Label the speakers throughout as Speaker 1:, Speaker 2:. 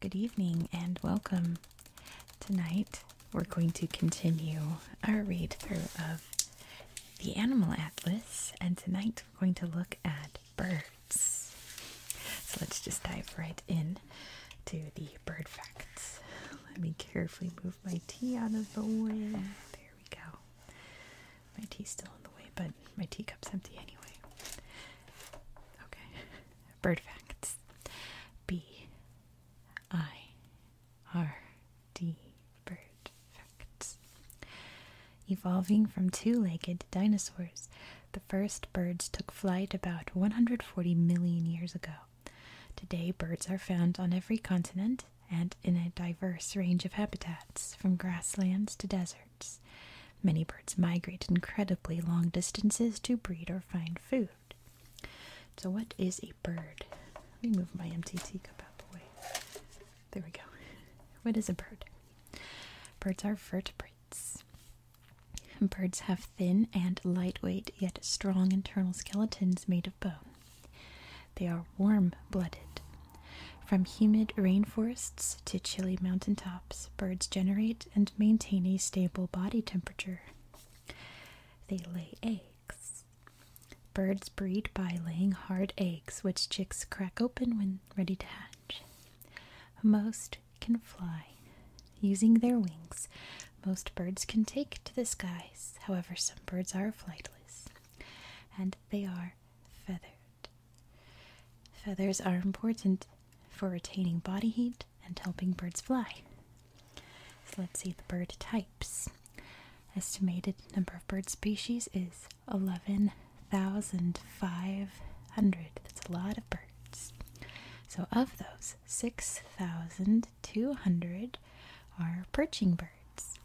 Speaker 1: Good evening and welcome. Tonight we're going to continue our read through of the Animal Atlas, and tonight we're going to look at birds. So let's just dive right in to the bird facts. Let me carefully move my tea out of the way. There we go. My tea's still in the way, but my teacup's empty anyway. Okay. Bird facts. B I R D bird facts. Evolving from two-legged dinosaurs, the first birds took flight about 140 million years ago. Today, birds are found on every continent and in a diverse range of habitats, from grasslands to deserts. Many birds migrate incredibly long distances to breed or find food. So, what is a bird? Let me move my empty teacup out of the way. There we go. What is a bird? Birds are vertebrates. Birds have thin and lightweight yet strong internal skeletons made of bone. They are warm blooded. From humid rainforests to chilly mountaintops, birds generate and maintain a stable body temperature. They lay eggs. Birds breed by laying hard eggs, which chicks crack open when ready to hatch. Most can fly. Using their wings, most birds can take to the skies. However, some birds are flightless and they are feathered. Feathers are important for retaining body heat and helping birds fly. So let's see the bird types. Estimated number of bird species is 11,500. That's a lot of birds. So, of those, 6,000 200 are perching birds.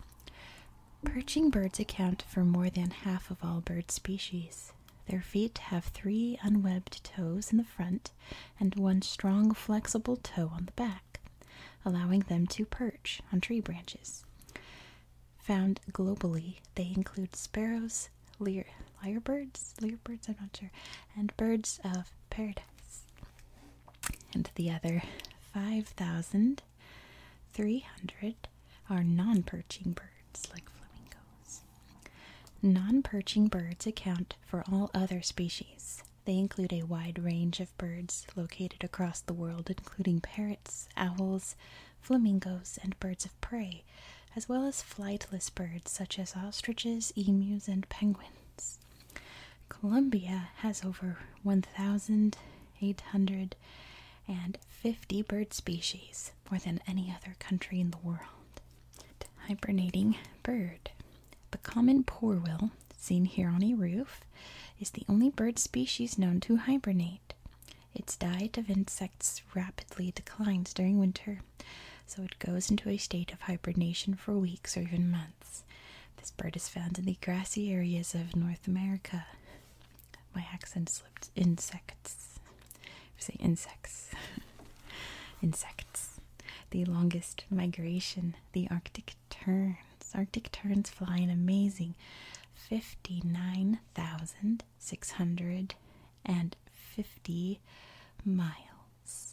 Speaker 1: Perching birds account for more than half of all bird species. Their feet have three unwebbed toes in the front and one strong flexible toe on the back, allowing them to perch on tree branches. Found globally, they include sparrows, lyrebirds, lyrebirds, I'm not sure, and birds of paradise and the other 5,300 are non perching birds like flamingos. Non perching birds account for all other species. They include a wide range of birds located across the world, including parrots, owls, flamingos, and birds of prey, as well as flightless birds such as ostriches, emus, and penguins. Colombia has over 1,850 bird species, more than any other country in the world. Hibernating bird. The common porwell, seen here on a roof, is the only bird species known to hibernate. Its diet of insects rapidly declines during winter, so it goes into a state of hibernation for weeks or even months. This bird is found in the grassy areas of North America. My accent slipped. Insects. Say insects. insects. The longest migration. The Arctic terns. Arctic terns fly an amazing 59,650 miles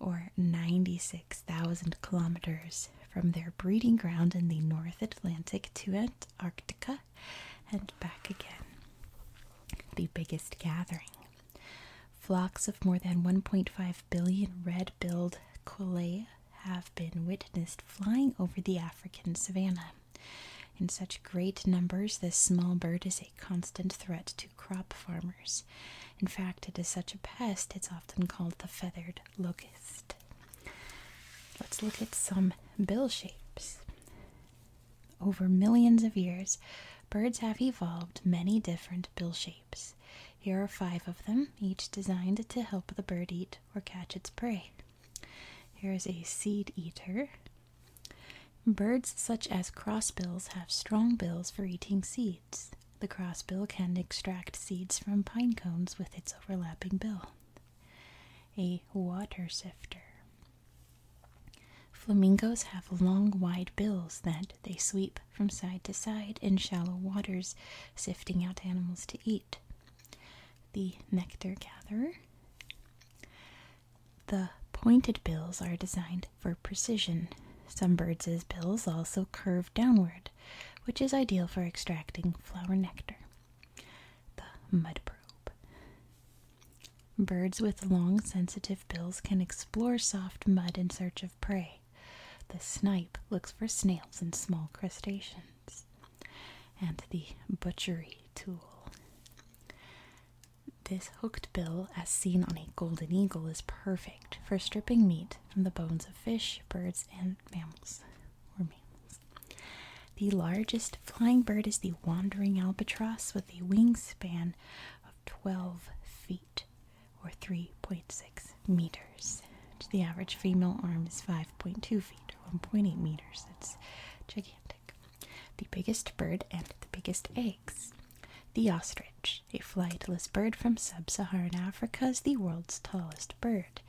Speaker 1: or 96,000 kilometers from their breeding ground in the North Atlantic to Antarctica and back again. The biggest gathering. Flocks of more than 1.5 billion red billed Quillea have been witnessed flying over the African savanna. In such great numbers, this small bird is a constant threat to crop farmers. In fact, it is such a pest, it's often called the feathered locust. Let's look at some bill shapes. Over millions of years, birds have evolved many different bill shapes. Here are five of them, each designed to help the bird eat or catch its prey. Here is a seed eater. Birds such as crossbills have strong bills for eating seeds. The crossbill can extract seeds from pine cones with its overlapping bill. A water sifter. Flamingos have long, wide bills that they sweep from side to side in shallow waters, sifting out animals to eat. The nectar gatherer. The pointed bills are designed for precision. Some birds' bills also curve downward, which is ideal for extracting flower nectar. The mud probe. Birds with long, sensitive bills can explore soft mud in search of prey. The snipe looks for snails and small crustaceans. And the butchery tool. This hooked bill, as seen on a golden eagle, is perfect for stripping meat from the bones of fish, birds, and mammals. Or mammals. The largest flying bird is the wandering albatross with a wingspan of 12 feet or 3.6 meters. The average female arm is 5.2 feet or 1.8 meters. That's gigantic. The biggest bird and the biggest eggs. The ostrich a flightless bird from sub-Saharan Africa, is the world's tallest bird.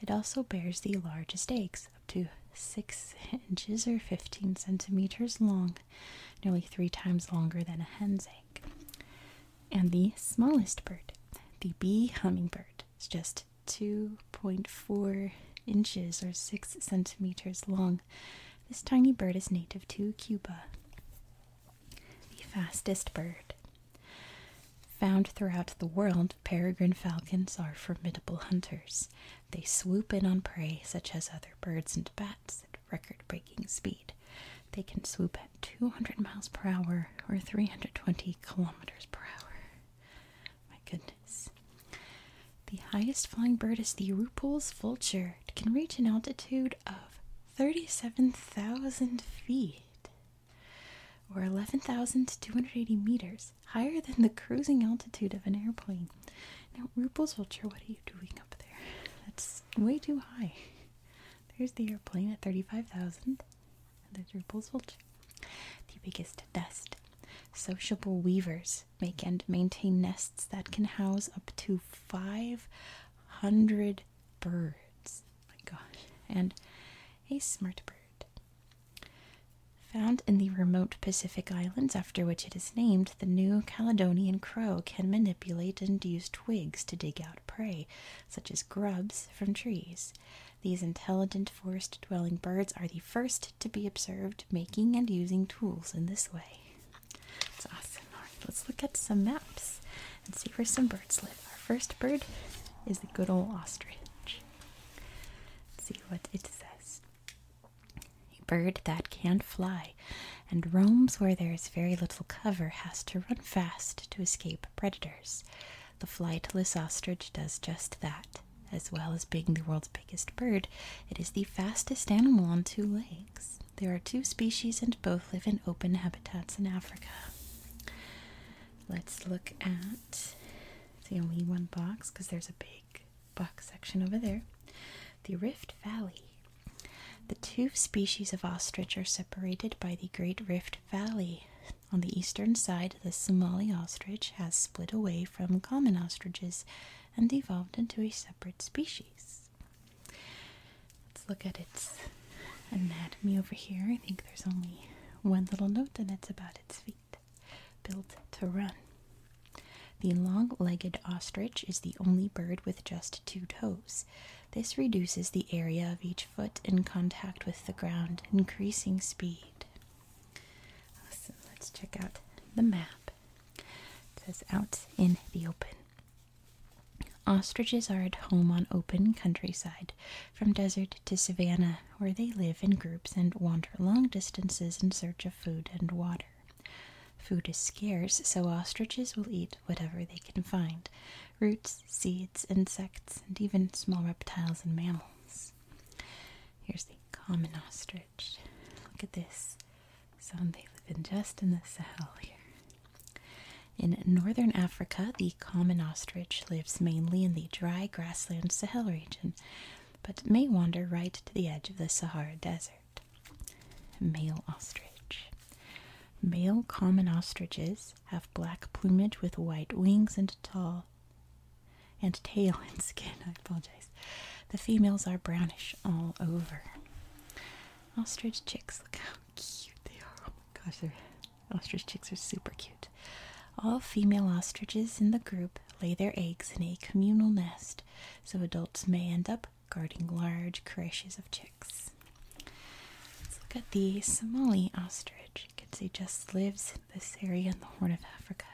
Speaker 1: It also bears the largest eggs, up to 6 inches or 15 centimeters long, nearly three times longer than a hen's egg. And the smallest bird, the bee hummingbird, is just 2.4 inches or 6 centimeters long. This tiny bird is native to Cuba the fastest bird. Found throughout the world, peregrine falcons are formidable hunters. They swoop in on prey such as other birds and bats at record breaking speed. They can swoop at 200 miles per hour or 320 kilometers per hour. My goodness. The highest flying bird is the Rupel's vulture. It can reach an altitude of 37,000 feet, or 11,280 meters, higher than the cruising altitude of an airplane. Now, RuPaul's Vulture, what are you doing up there? That's way too high. There's the airplane at 35,000, and there's RuPaul's Vulture. The biggest nest. Sociable weavers make and maintain nests that can house up to 500 birds. Oh my gosh. And a smart bird. Found in the remote Pacific Islands, after which it is named, the New Caledonian crow can manipulate and use twigs to dig out prey, such as grubs, from trees. These intelligent forest dwelling birds are the first to be observed making and using tools in this way. It's awesome. let's look at some maps and see where some birds live. Our first bird is the good old ostrich. see what it says. A bird that can't fly and roams where there is very little cover has to run fast to escape predators. The flightless ostrich does just that. As well as being the world's biggest bird, it is the fastest animal on two legs there are two species and both live in open habitats in Africa. Let's look at the only one box because there's a big box section over there. The Rift Valley. The two species of ostrich are separated by the Great Rift Valley. On the eastern side, the Somali ostrich has split away from common ostriches and evolved into a separate species. Let's look at its anatomy over here. I think there's only one little note, and that's about its feet. Built to run. The long legged ostrich is the only bird with just two toes. This reduces the area of each foot in contact with the ground, increasing speed. Awesome. Let's check out the map. It says out in the open. Ostriches are at home on open countryside, from desert to savanna, where they live in groups and wander long distances in search of food and water. Food is scarce, so ostriches will eat whatever they can find roots, seeds, insects, and even small reptiles and mammals. Here's the common ostrich. Look at this Sound they live in just in the Sahel here. In northern Africa, the common ostrich lives mainly in the dry grassland Sahel region, but may wander right to the edge of the Sahara Desert. Male ostrich. Male common ostriches have black plumage with white wings and and tail and skin. I apologize. The females are brownish all over. Ostrich chicks, look how cute they are. Oh my gosh, their ostrich chicks are super cute. All female ostriches in the group lay their eggs in a communal nest, so adults may end up guarding large carishes of chicks. Let's look at the Somali ostrich. You can see just lives in this area in the Horn of Africa.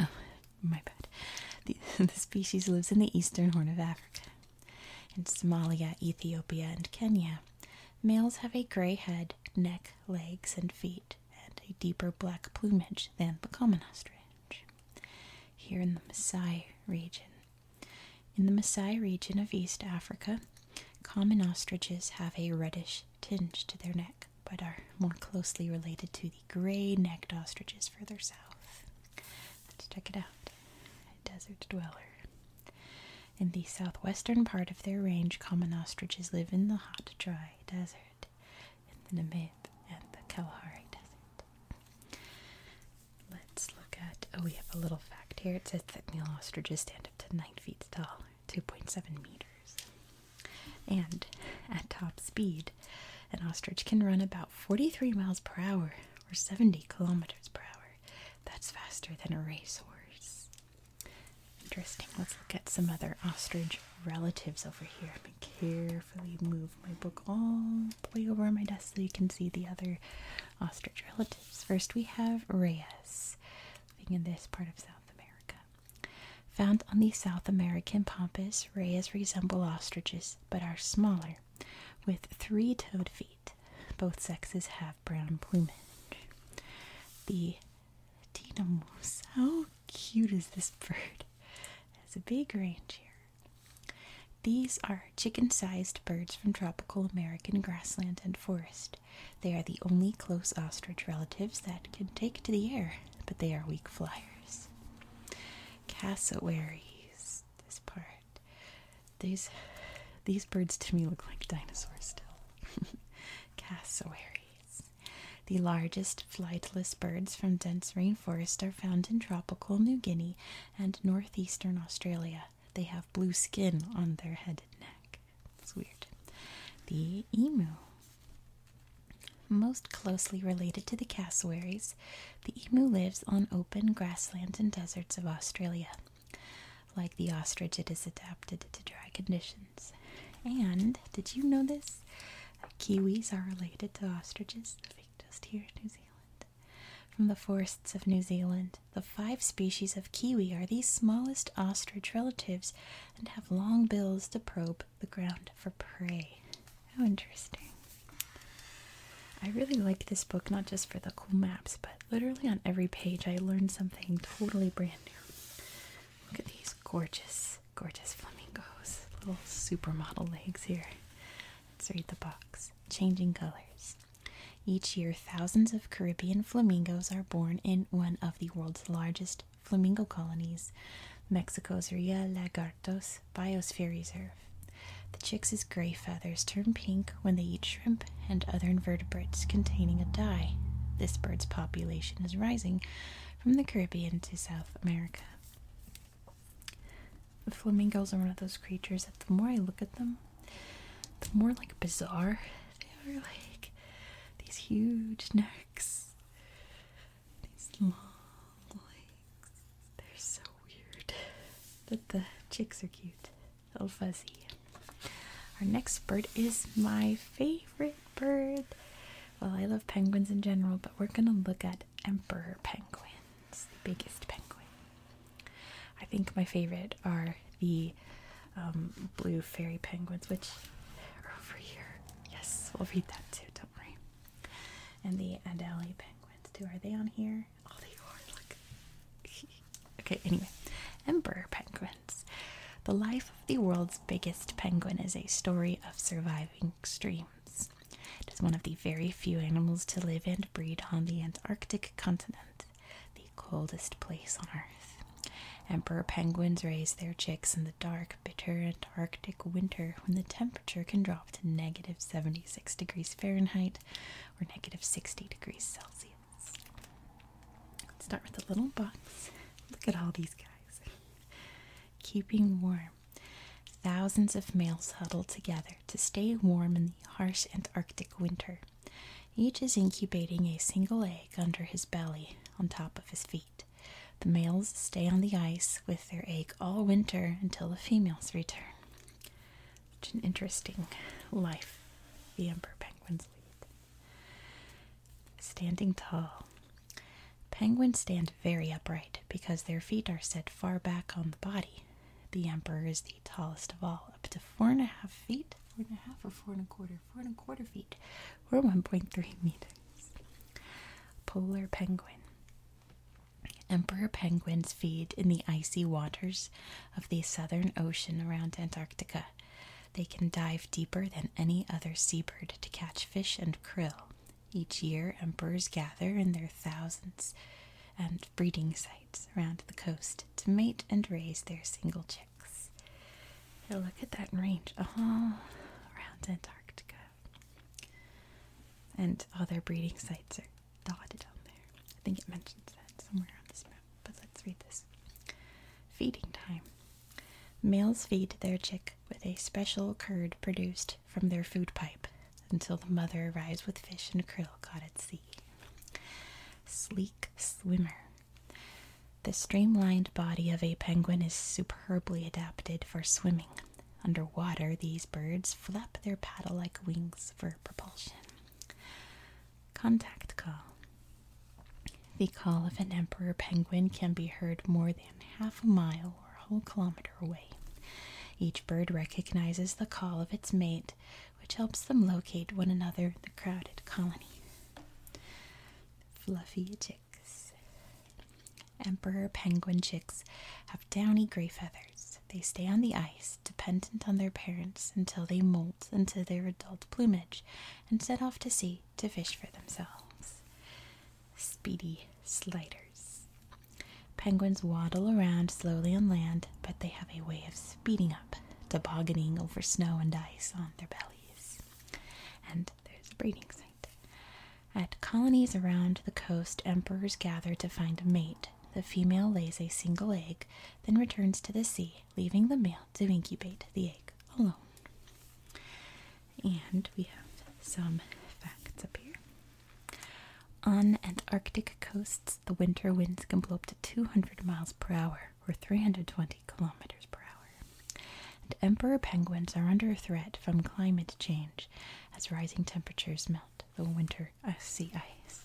Speaker 1: Oh, my bad. the species lives in the eastern Horn of Africa. In Somalia, Ethiopia, and Kenya, males have a gray head, neck, legs, and feet, and a deeper black plumage than the common ostrich. Here in the Maasai region, in the Maasai region of East Africa, common ostriches have a reddish tinge to their neck, but are more closely related to the gray necked ostriches further south. Let's check it out. Desert dweller. In the southwestern part of their range, common ostriches live in the hot, dry desert, in the Namib and the Kalahari Desert. Let's look at, oh, we have a little fact here. It says that male ostriches stand up to 9 feet tall, 2.7 meters. And at top speed, an ostrich can run about 43 miles per hour, or 70 kilometers per hour. That's faster than a racehorse. Interesting. Let's look at some other ostrich relatives over here. I'm going to carefully move my book all the way over on my desk so you can see the other ostrich relatives. First, we have Reyes, living in this part of South America. Found on the South American pampas, Reyes resemble ostriches but are smaller with three toed feet. Both sexes have brown plumage. The Tina How cute is this bird? It has a big range here. These are chicken sized birds from tropical American grassland and forest. They are the only close ostrich relatives that can take to the air, but they are weak flyers. Cassowaries this part. These these birds to me look like dinosaurs still. Cassowaries. The largest flightless birds from dense rainforest are found in tropical New Guinea and northeastern Australia. They have blue skin on their head and neck. It's weird. The emu. Most closely related to the cassowaries, the emu lives on open grassland and deserts of Australia. Like the ostrich, it is adapted to dry conditions. And did you know this? Kiwis are related to ostriches just here in New Zealand. From the forests of New Zealand, the five species of kiwi are these smallest ostrich relatives and have long bills to probe the ground for prey. How oh, interesting. I really like this book, not just for the cool maps, but literally on every page I learned something totally brand new. Look at these gorgeous, gorgeous flamingos. Little supermodel legs here. Let's read the box. Changing colors. Each year, thousands of Caribbean flamingos are born in one of the world's largest flamingo colonies. Mexico's Ria Lagartos Biosphere Reserve. The chicks' gray feathers turn pink when they eat shrimp and other invertebrates containing a dye. This bird's population is rising from the Caribbean to South America. The flamingos are one of those creatures that the more I look at them, the more like bizarre they are like these huge necks. These long legs. They're so weird. But the chicks are cute. Little fuzzy. Our next bird is my favorite bird. Well, I love penguins in general, but we're gonna look at emperor penguins, the biggest penguin. I think my favorite are the um, blue fairy penguins, which are over here. Yes, we'll read that too, don't worry. And the Adelie penguins too. Are they on here? Oh, okay. Anyway, emperor penguins. The life of the world's biggest penguin is a story of surviving extremes. It is one of the very few animals to live and breed on the Antarctic continent, the coldest place on Earth. Emperor penguins raise their chicks in the dark, bitter Antarctic winter when the temperature can drop to negative 76 degrees Fahrenheit or negative 60 degrees Celsius. Let's start with a little box. Look at all these guys. Keeping warm. Thousands of males huddle together to stay warm in the harsh Antarctic winter. Each is incubating a single egg under his belly on top of his feet. The males stay on the ice with their eggs all winter until the females return. Such an interesting life the emperor penguins lead. Standing tall. Penguins stand very upright because their feet are set far back on the body. The emperor is the tallest of all, up to four and a half feet, four and a half or four and a quarter, four and a quarter feet, or 1.3 meters. Polar penguin. Emperor penguins feed in the icy waters of the southern ocean around Antarctica. They can dive deeper than any other seabird to catch fish and krill. Each year, emperors gather in their thousands at breeding sites around the coast to mate and raise their single chicks. look at that range all uh-huh, around Antarctica. And other breeding sites are dotted down there. I think it mentions that somewhere on this map, but let's read this. Feeding time. Males feed their chick with a special curd produced from their food pipe until the mother arrives with fish and krill caught at sea. Sleek swimmer. The streamlined body of a penguin is superbly adapted for swimming, Underwater, these birds flap their paddle like wings for propulsion. Contact call. The call of an emperor penguin can be heard more than half a mile or a whole kilometer away. Each bird recognizes the call of its mate, which helps them locate one another, in the crowded colony. Fluffy chicks emperor penguin chicks have downy gray feathers. They stay on the ice, dependent on their parents, until they molt into their adult plumage and set off to sea to fish for themselves. Speedy sliders. Penguins waddle around slowly on land, but they have a way of speeding up, tobogganing over snow and ice on their bellies. And there's a breeding site. At colonies around the coast, emperors gather to find a mate. The female lays a single egg, then returns to the sea, leaving the male to incubate the egg alone. And we have some facts up here. On Antarctic coasts, the winter winds can blow up to 200 miles per hour or 320 kilometers per hour. And emperor penguins are under threat from climate change as rising temperatures melt the winter uh, sea ice.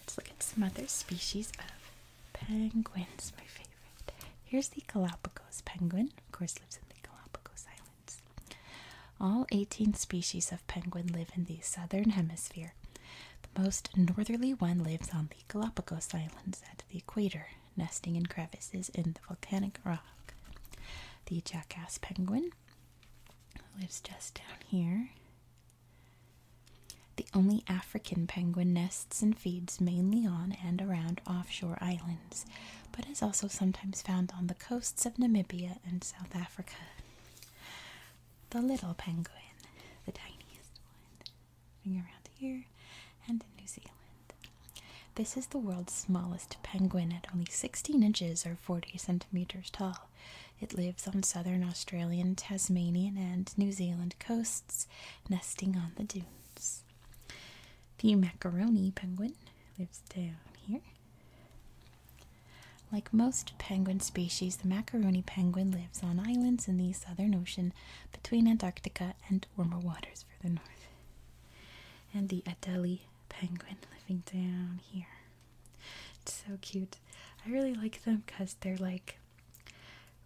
Speaker 1: Let's look at some other species of penguins, my favorite. Here's the Galapagos penguin, of course, lives in the Galapagos Islands. All 18 species of penguin live in the southern hemisphere. The most northerly one lives on the Galapagos Islands at the equator, nesting in crevices in the volcanic rock. The jackass penguin lives just down here. The only African penguin nests and feeds mainly on and around offshore islands, but is also sometimes found on the coasts of Namibia and South Africa. The little penguin, the tiniest one, moving around here, and in New Zealand. This is the world's smallest penguin at only 16 inches or 40 centimeters tall. It lives on southern Australian, Tasmanian, and New Zealand coasts, nesting on the dunes. The macaroni penguin lives down here. Like most penguin species, the macaroni penguin lives on islands in the southern ocean between Antarctica and warmer waters further north. And the Adélie penguin living down here. It's so cute. I really like them because they're like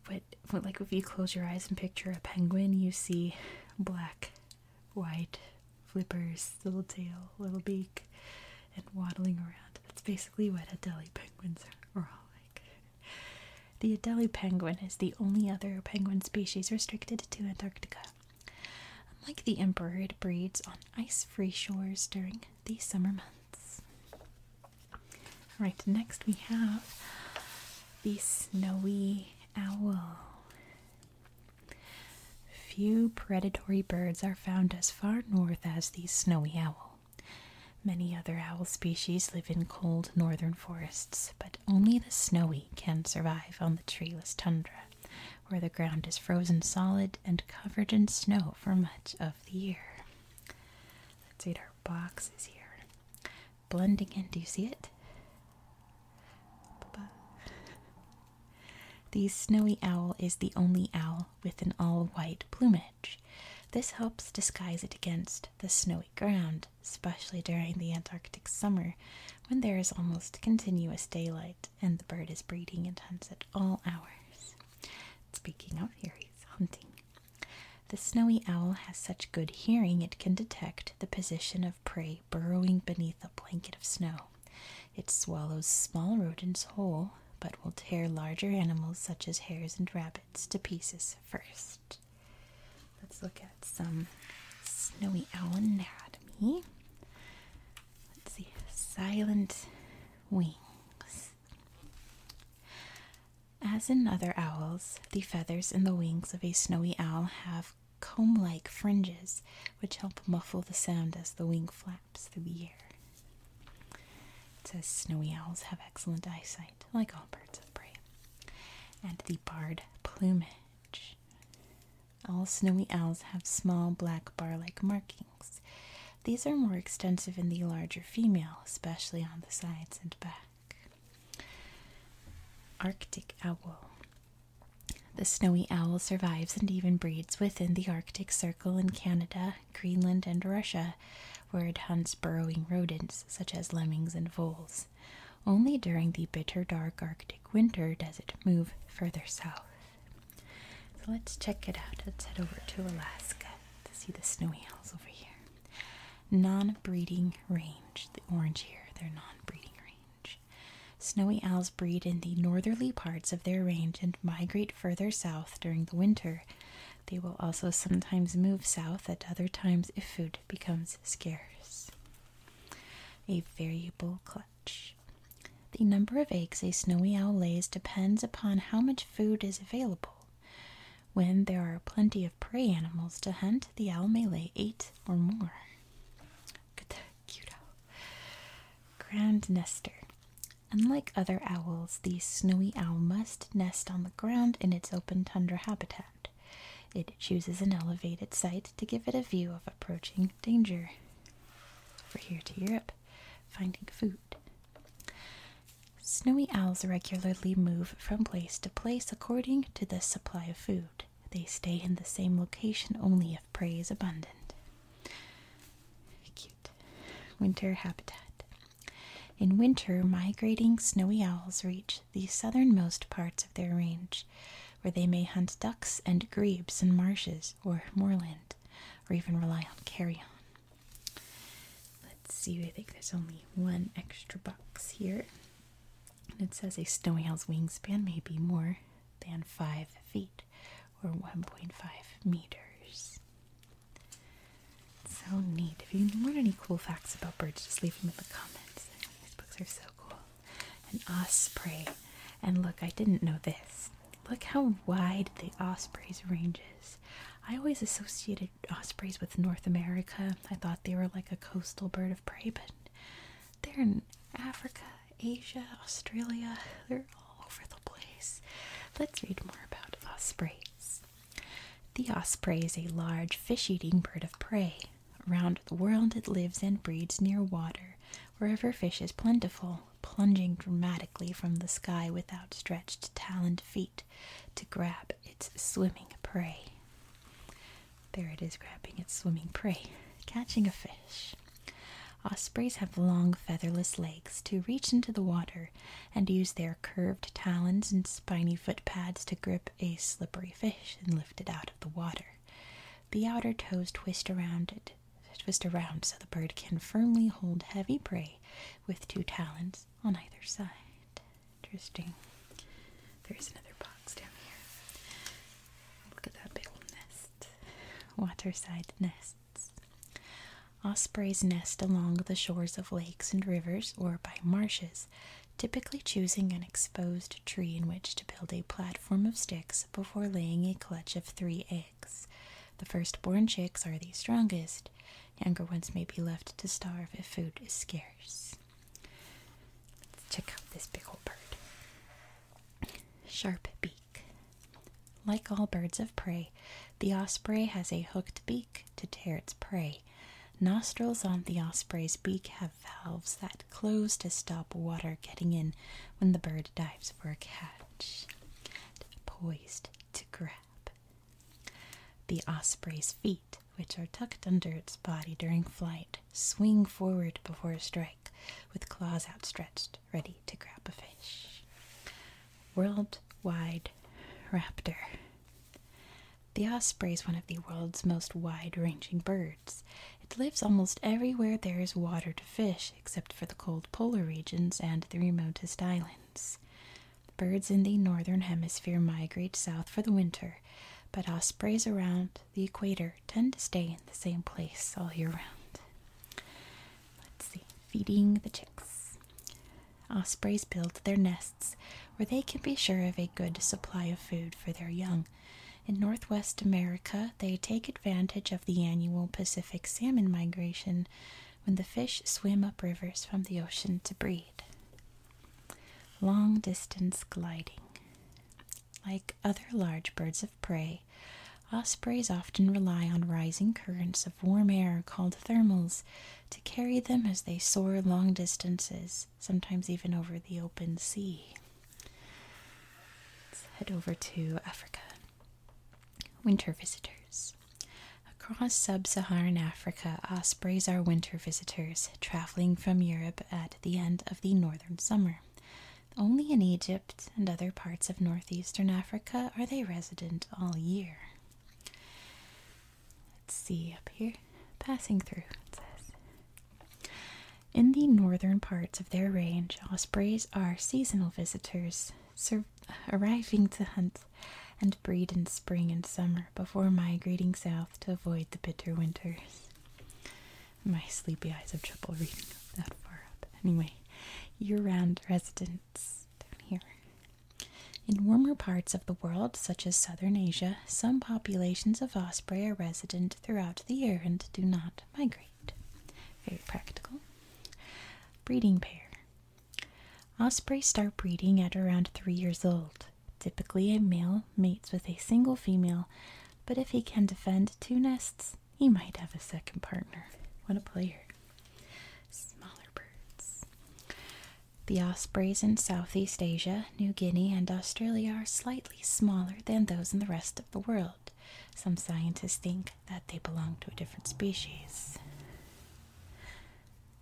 Speaker 1: what, what like if you close your eyes and picture a penguin, you see black, white flippers, little tail, little beak, and waddling around. That's basically what Adelie penguins are all like. The Adelie penguin is the only other penguin species restricted to Antarctica. Unlike the emperor, it breeds on ice-free shores during the summer months. Alright, next we have the snowy owl. Few predatory birds are found as far north as the snowy owl. Many other owl species live in cold northern forests, but only the snowy can survive on the treeless tundra, where the ground is frozen solid and covered in snow for much of the year. Let's read our boxes here. Blending in, do you see it? Ba The snowy owl is the only owl with an all white plumage. This helps disguise it against the snowy ground, especially during the Antarctic summer, when there is almost continuous daylight and the bird is breeding and hunts at all hours. Speaking of, here hunting. The snowy owl has such good hearing it can detect the position of prey burrowing beneath a blanket of snow. It swallows small rodents whole, but will tear larger animals such as hares and rabbits to pieces first. Let's look at some snowy owl anatomy. Let's see, silent wings. As in other owls, the feathers in the wings of a snowy owl have comb like fringes which help muffle the sound as the wing flaps through the air. It says snowy owls have excellent eyesight, like all birds of prey, and the barred plumage. All snowy owls have small black bar like markings. These are more extensive in the larger female, especially on the sides and back. Arctic Owl The snowy owl survives and even breeds within the Arctic Circle in Canada, Greenland, and Russia, where it hunts burrowing rodents such as lemmings and voles. Only during the bitter dark Arctic winter does it move further south. let's check it out. Let's head over to Alaska to see the snowy owls over here. Non breeding range. The orange here, their non breeding range. Snowy owls breed in the northerly parts of their range and migrate further south during the winter. They will also sometimes move south at other times if food becomes scarce. A variable clutch. The number of eggs a snowy owl lays depends upon how much food is available. When there are plenty of prey animals to hunt, the owl may lay eight or more. Look at that cute owl. Ground nester. Unlike other owls, the snowy owl must nest on the ground in its open tundra habitat. It chooses an elevated site to give it a view of approaching danger. Over here to Europe, finding food. Snowy owls regularly move from place to place according to the supply of food. They stay in the same location only if prey is abundant. Cute. Winter habitat. In winter, migrating snowy owls reach the southernmost parts of their range, where they may hunt ducks and grebes in marshes or moorland, or even rely on carrion. Let's see, I think there's only one extra box here. And it says a snowy owl's wingspan may be more than 5 feet or 1.5 meters. So neat. If you learn any cool facts about birds, just leave them in the comments. These books are so cool an osprey. And look, I didn't know this. Look how wide the osprey's range is. I always associated ospreys with North America. I thought they were like a coastal bird of prey, but they're in Africa, Asia, Australia. They're all over the place. Let's read more about ospreys. The osprey is a large fish eating bird of prey. Around the world it lives and breeds near water, wherever fish is plentiful, plunging dramatically from the sky with outstretched taloned feet to grab its swimming prey. There it is grabbing its swimming prey, catching a fish. Ospreys have long featherless legs to reach into the water and use their curved talons and spiny foot pads to grip a slippery fish and lift it out of the water. The outer toes twist around it, twist around so the bird can firmly hold heavy prey with two talons on either side. Interesting. There's another box down here. Look at that big old nest. Waterside nests. Ospreys nest along the shores of lakes and rivers or by marshes typically choosing an exposed tree in which to build a platform of sticks before laying a clutch of three eggs. The first-born chicks are the strongest. Younger ones may be left to starve if food is scarce. check out this big old bird. Sharp beak. Like all birds of prey, the osprey has a hooked beak to tear its prey. Nostrils on the osprey's beak have valves that close to stop water getting in when the bird dives for a catch. Poised to grab. The osprey's feet, which are tucked under its body during flight, swing forward before a strike, with claws outstretched, ready to grab a fish. Worldwide raptor. The osprey is one of the world's most wide ranging birds. It lives almost everywhere there is water to fish, except for the cold polar regions and the remotest islands. Birds in the northern hemisphere migrate south for the winter, but ospreys around the equator tend to stay in the same place all year round. Let's see, feeding the chicks. Ospreys build their nests where they can be sure of a good supply of food for their young. In Northwest America, they take advantage of the annual Pacific salmon migration when the fish swim up rivers from the ocean to breed. Long distance gliding. Like other large birds of prey, ospreys often rely on rising currents of warm air called thermals to carry them as they soar long distances sometimes even over the open sea. Let's head over to Africa. Winter visitors. Across sub Saharan Africa, ospreys are winter visitors, traveling from Europe at the end of the northern summer. Only in Egypt and other parts of northeastern Africa are they resident all year. Let's see up here. Passing through, in the northern parts of their range, ospreys are seasonal visitors, arriving to hunt and breed in spring and summer before migrating south to avoid the bitter winters. My sleepy eyes have trouble reading that far up. Anyway, year round residents down here. In warmer parts of the world, such as southern Asia some populations of osprey are resident throughout the year and do not migrate. Very practical. Breeding pair. Osprey start breeding at around three years old. Typically, a male mates with a single female, but if he can defend two nests, he might have a second partner. What a player! Smaller birds. The ospreys in Southeast Asia New Guinea, and Australia are slightly smaller than those in the rest of the world. Some scientists think that they belong to a different species.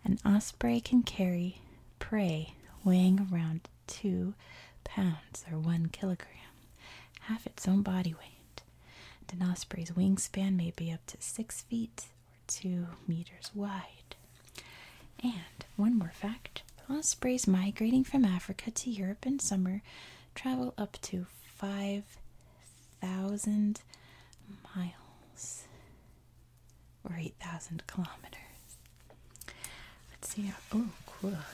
Speaker 1: An osprey can carry prey weighing around two pounds or one kilogram, half its own body weight. And an osprey's wingspan may be up to six feet or two meters wide. And one more fact ospreys migrating from Africa to Europe in summer travel up to 5,000 miles or 8,000 kilometers. Let's see. How, oh, cool. A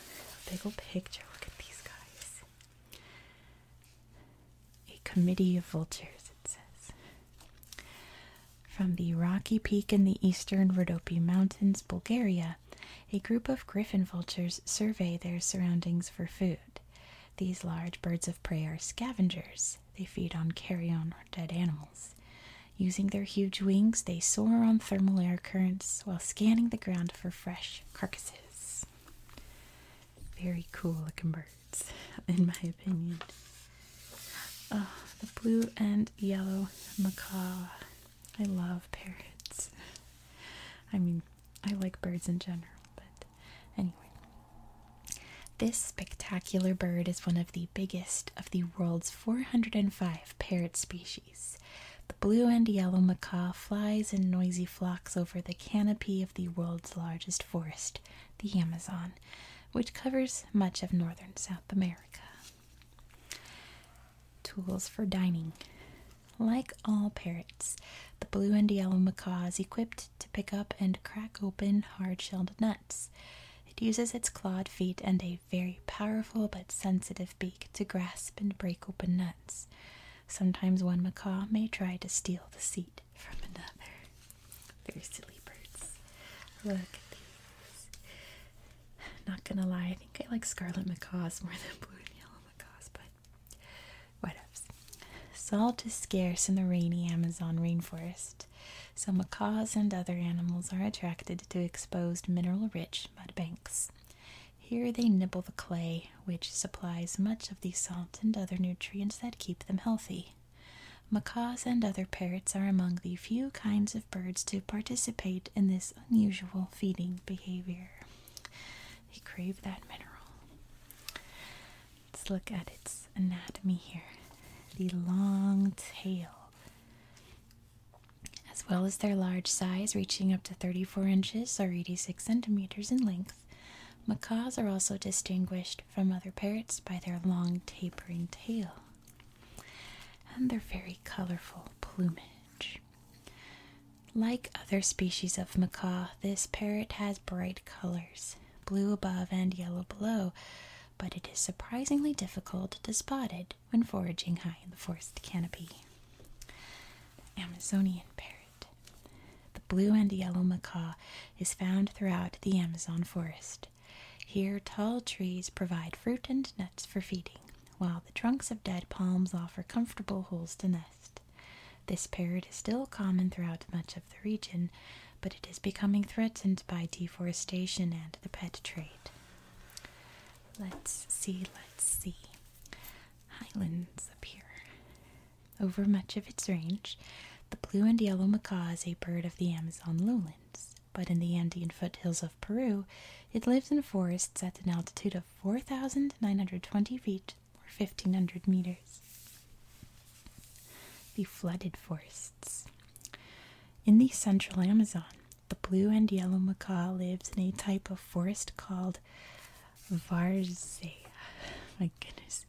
Speaker 1: big old picture. Look at these guys. A committee of vultures, it says. From the rocky peak in the eastern Rhodope Mountains, Bulgaria, a group of griffon vultures survey their surroundings for food. These large birds of prey are scavengers. They feed on carrion or dead animals. Using their huge wings, they soar on thermal air currents while scanning the ground for fresh carcasses. Very cool looking birds, in my opinion the blue and yellow macaw. I love parrots. I mean, I like birds in general, but anyway. This spectacular bird is one of the biggest of the world's 405 parrot species. The blue and yellow macaw flies in noisy flocks over the canopy of the world's largest forest, the Amazon, which covers much of northern South America. Tools for dining. Like all parrots, the blue and yellow macaw is equipped to pick up and crack open hard shelled nuts. It uses its clawed feet and a very powerful but sensitive beak to grasp and break open nuts. Sometimes one macaw may try to steal the seed from another. Very silly birds. Look at these. Not gonna lie, I think I like scarlet macaws more than blue and yellow macaws, but whatevs. Salt is scarce in the rainy Amazon rainforest, so macaws and other animals are attracted to exposed mineral rich mud banks. Here they nibble the clay, which supplies much of the salt and other nutrients that keep them healthy. Macaws and other parrots are among the few kinds of birds to participate in this unusual feeding behavior. They crave that mineral. Let's look at its anatomy here the long tail. As well as their large size, reaching up to 34 inches or 86 centimeters in length, macaws are also distinguished from other parrots by their long tapering tail and their very colorful plumage. Like other species of macaw, this parrot has bright colors, blue above and yellow below, but it is surprisingly difficult to spot it when foraging high in the forest canopy. The Amazonian parrot. The blue and yellow macaw is found throughout the Amazon forest. Here, tall trees provide fruit and nuts for feeding, while the trunks of dead palms offer comfortable holes to nest. This parrot is still common throughout much of the region, but it is becoming threatened by deforestation and the pet trade. Let's see, let's see. Highlands up here. Over much of its range, the blue and yellow macaw is a bird of the Amazon lowlands but in the Andean foothills of Peru, it lives in forests at an altitude of 4,920 feet or 1,500 meters. The flooded forests. In the central Amazon, the blue and yellow macaw lives in a type of forest called várzea. My goodness,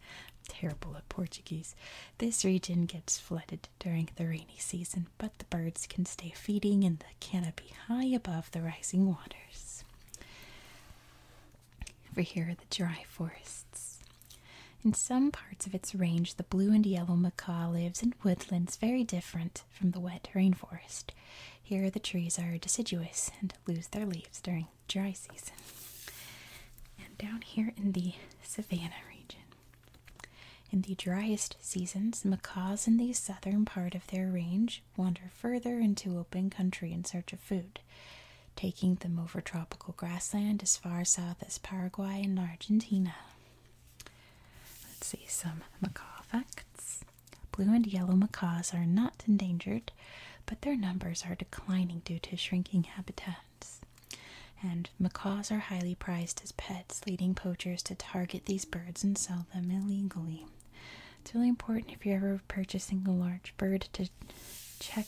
Speaker 1: terrible at Portuguese. This region gets flooded during the rainy season, but the birds can stay feeding in the canopy high above the rising waters. Over here are the dry forests. In some parts of its range, the blue and yellow macaw lives in woodlands very different from the wet rainforest. Here, the trees are deciduous and lose their leaves during dry season. And down here in the savanna region, in the driest seasons, macaws in the southern part of their range wander further into open country in search of food, taking them over tropical grassland as far south as Paraguay and Argentina. Let's see some macaw facts. Blue and yellow macaws are not endangered, but their numbers are declining due to shrinking habitat. And macaws are highly prized as pets, leading poachers to target these birds and sell them illegally. It's really important if you're ever purchasing a large bird to check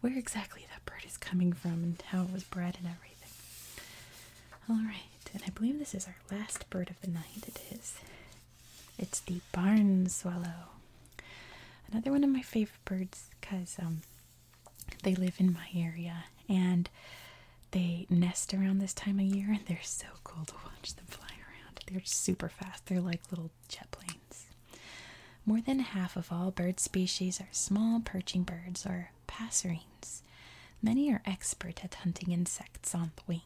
Speaker 1: where exactly that bird is coming from and how it was bred and everything. Alright, and I believe this is our last bird of the night. It is. It's the barn swallow. Another one of my favorite birds because um, they live in my area and they nest around this time of year and they're so cool to watch them fly around. They're super fast. They're like little jet planes. More than half of all bird species are small perching birds or passerines. Many are expert at hunting insects on the wing.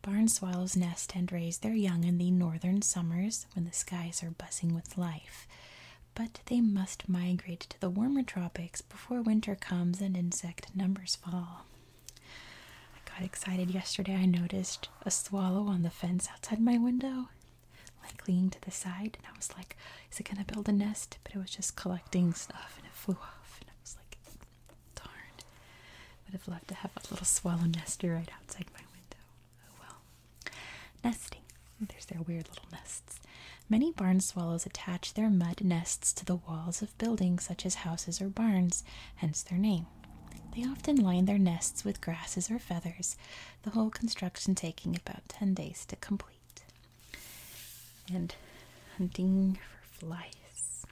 Speaker 1: Barn swallows nest and raise their young in the northern summers when the skies are buzzing with life but they must migrate to the warmer tropics before winter comes and insect numbers fall. I got excited yesterday. I noticed a swallow on the fence outside my window, like leaning to the side, and I was like, is it gonna build a nest? But it was just collecting stuff and it flew off, and I was like, darn. Would have loved to have a little swallow nester right outside my window. Oh well. Nesting. There's their weird little nests. Many barn swallows attach their mud nests to the walls of buildings such as houses or barns, hence their name. They often line their nests with grasses or feathers, the whole construction taking about 10 days to complete. And hunting for flies.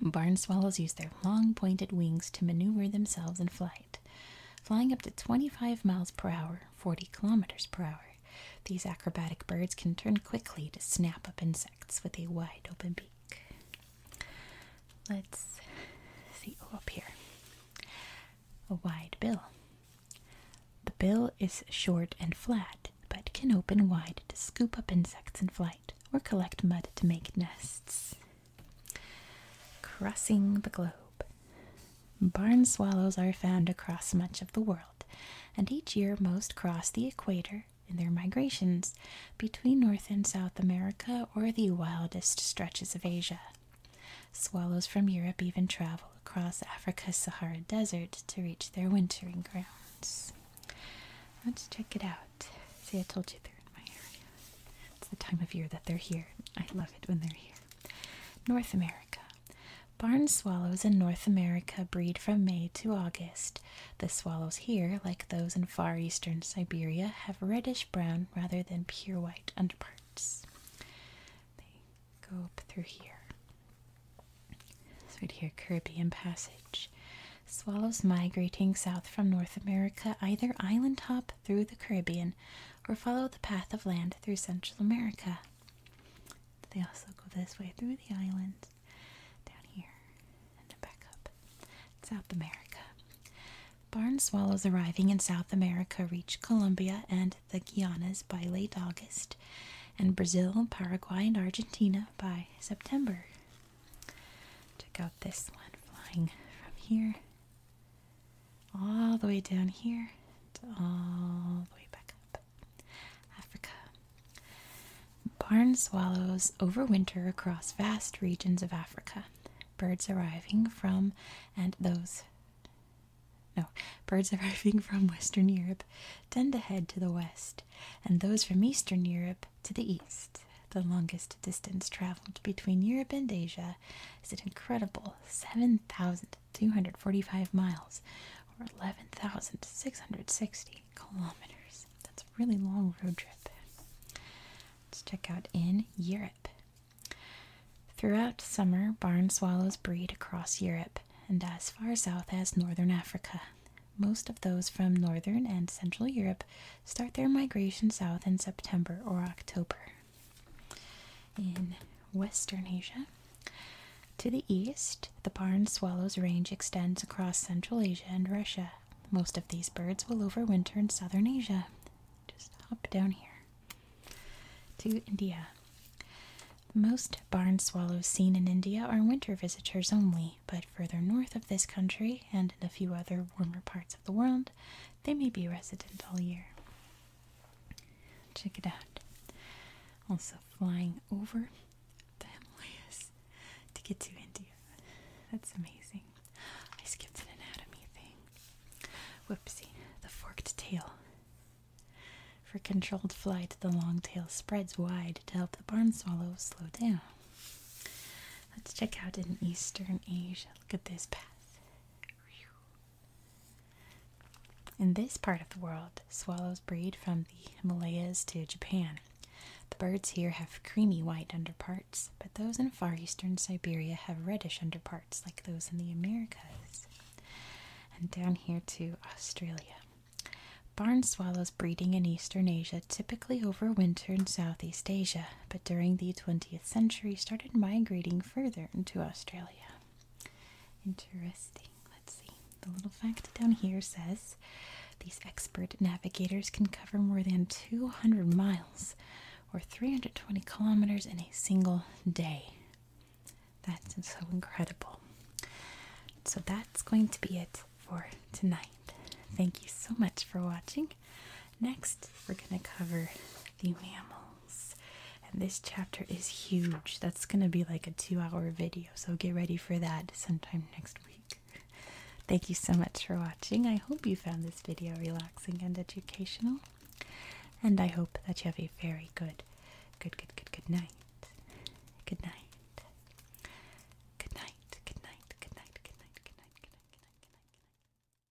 Speaker 1: Barn swallows use their long pointed wings to maneuver themselves in flight. Flying up to 25 miles per hour 40 kilometers per hour. These acrobatic birds can turn quickly to snap up insects with a wide open beak. Let's see oh, up here. A wide bill. The bill is short and flat, but can open wide to scoop up insects in flight or collect mud to make nests. Crossing the globe. Barn swallows are found across much of the world, and each year most cross the equator in their migrations between North and South America or the wildest stretches of Asia. Swallows from Europe even travel across Africa's Sahara Desert to reach their wintering grounds. Let's check it out. See, I told you they're in my area. It's the time of year that they're here. I love it when they're here. North America. Barn swallows in North America breed from May to August. The swallows here, like those in far eastern Siberia, have reddish brown rather than pure white underparts. They go up through here. So right here, Caribbean Passage. Swallows migrating south from North America either island hop through the Caribbean or follow the path of land through Central America. They also go this way through the islands, down here, and back up. South America. Barn swallows arriving in South America reach Colombia and the Guianas by late August, and Brazil, Paraguay, and Argentina by September. Check out this one flying from here all the way down here to all the way back up. Africa. Barn swallows overwinter across vast regions of Africa. Birds arriving from and those no, birds arriving from Western Europe tend to head to the west, and those from Eastern Europe to the east. The longest distance traveled between Europe and Asia Canada is an incredible 7,245 miles or 11,660 kilometers. That's a really long road trip. Let's check out in Europe. Throughout summer, barn swallows breed across Europe and as far south as northern Africa. Most of those from northern and central Europe start their migration south in September or October. In Western Asia, to the east, the barn swallow's range extends across Central Asia and Russia. Most of these birds will overwinter in Southern Asia. Just hop down here to India. Most barn swallows seen in India are winter visitors only, but further north of this country and in a few other warmer parts of the world, they may be resident all year. Check it out. Also flying over the Himalayas to get to India. That's amazing. I skipped an anatomy thing. Whoopsie, the forked tail. For controlled flight, the long tail spreads wide to help the barn swallow slow down. Let's check out in Eastern Asia. Look at this path. In this part of the world, swallows breed from the Himalayas to Japan. The birds here have creamy white underparts, but those in far eastern Siberia have reddish underparts like those in the Americas. And down here to Australia. Barn swallows breeding in eastern Asia typically overwinter in Southeast Asia, but during the 20th century started migrating further into Australia. Interesting. Let's see. The little fact down here says these expert navigators can cover more than 200 miles or 320 kilometers in a single day. That's so incredible. So that's going to be it for tonight. Thank you so much for watching. Next, we're going to cover the mammals. And this chapter is huge. That's going to be like a two hour video, so get ready for that sometime next week. Thank you so much for watching. I hope you found this video relaxing and educational. And I hope that you have a very good, good, good, good, Good night. Good night. Good night. Good night. Good night. Good night. Good night. Good night. Good night. Good night.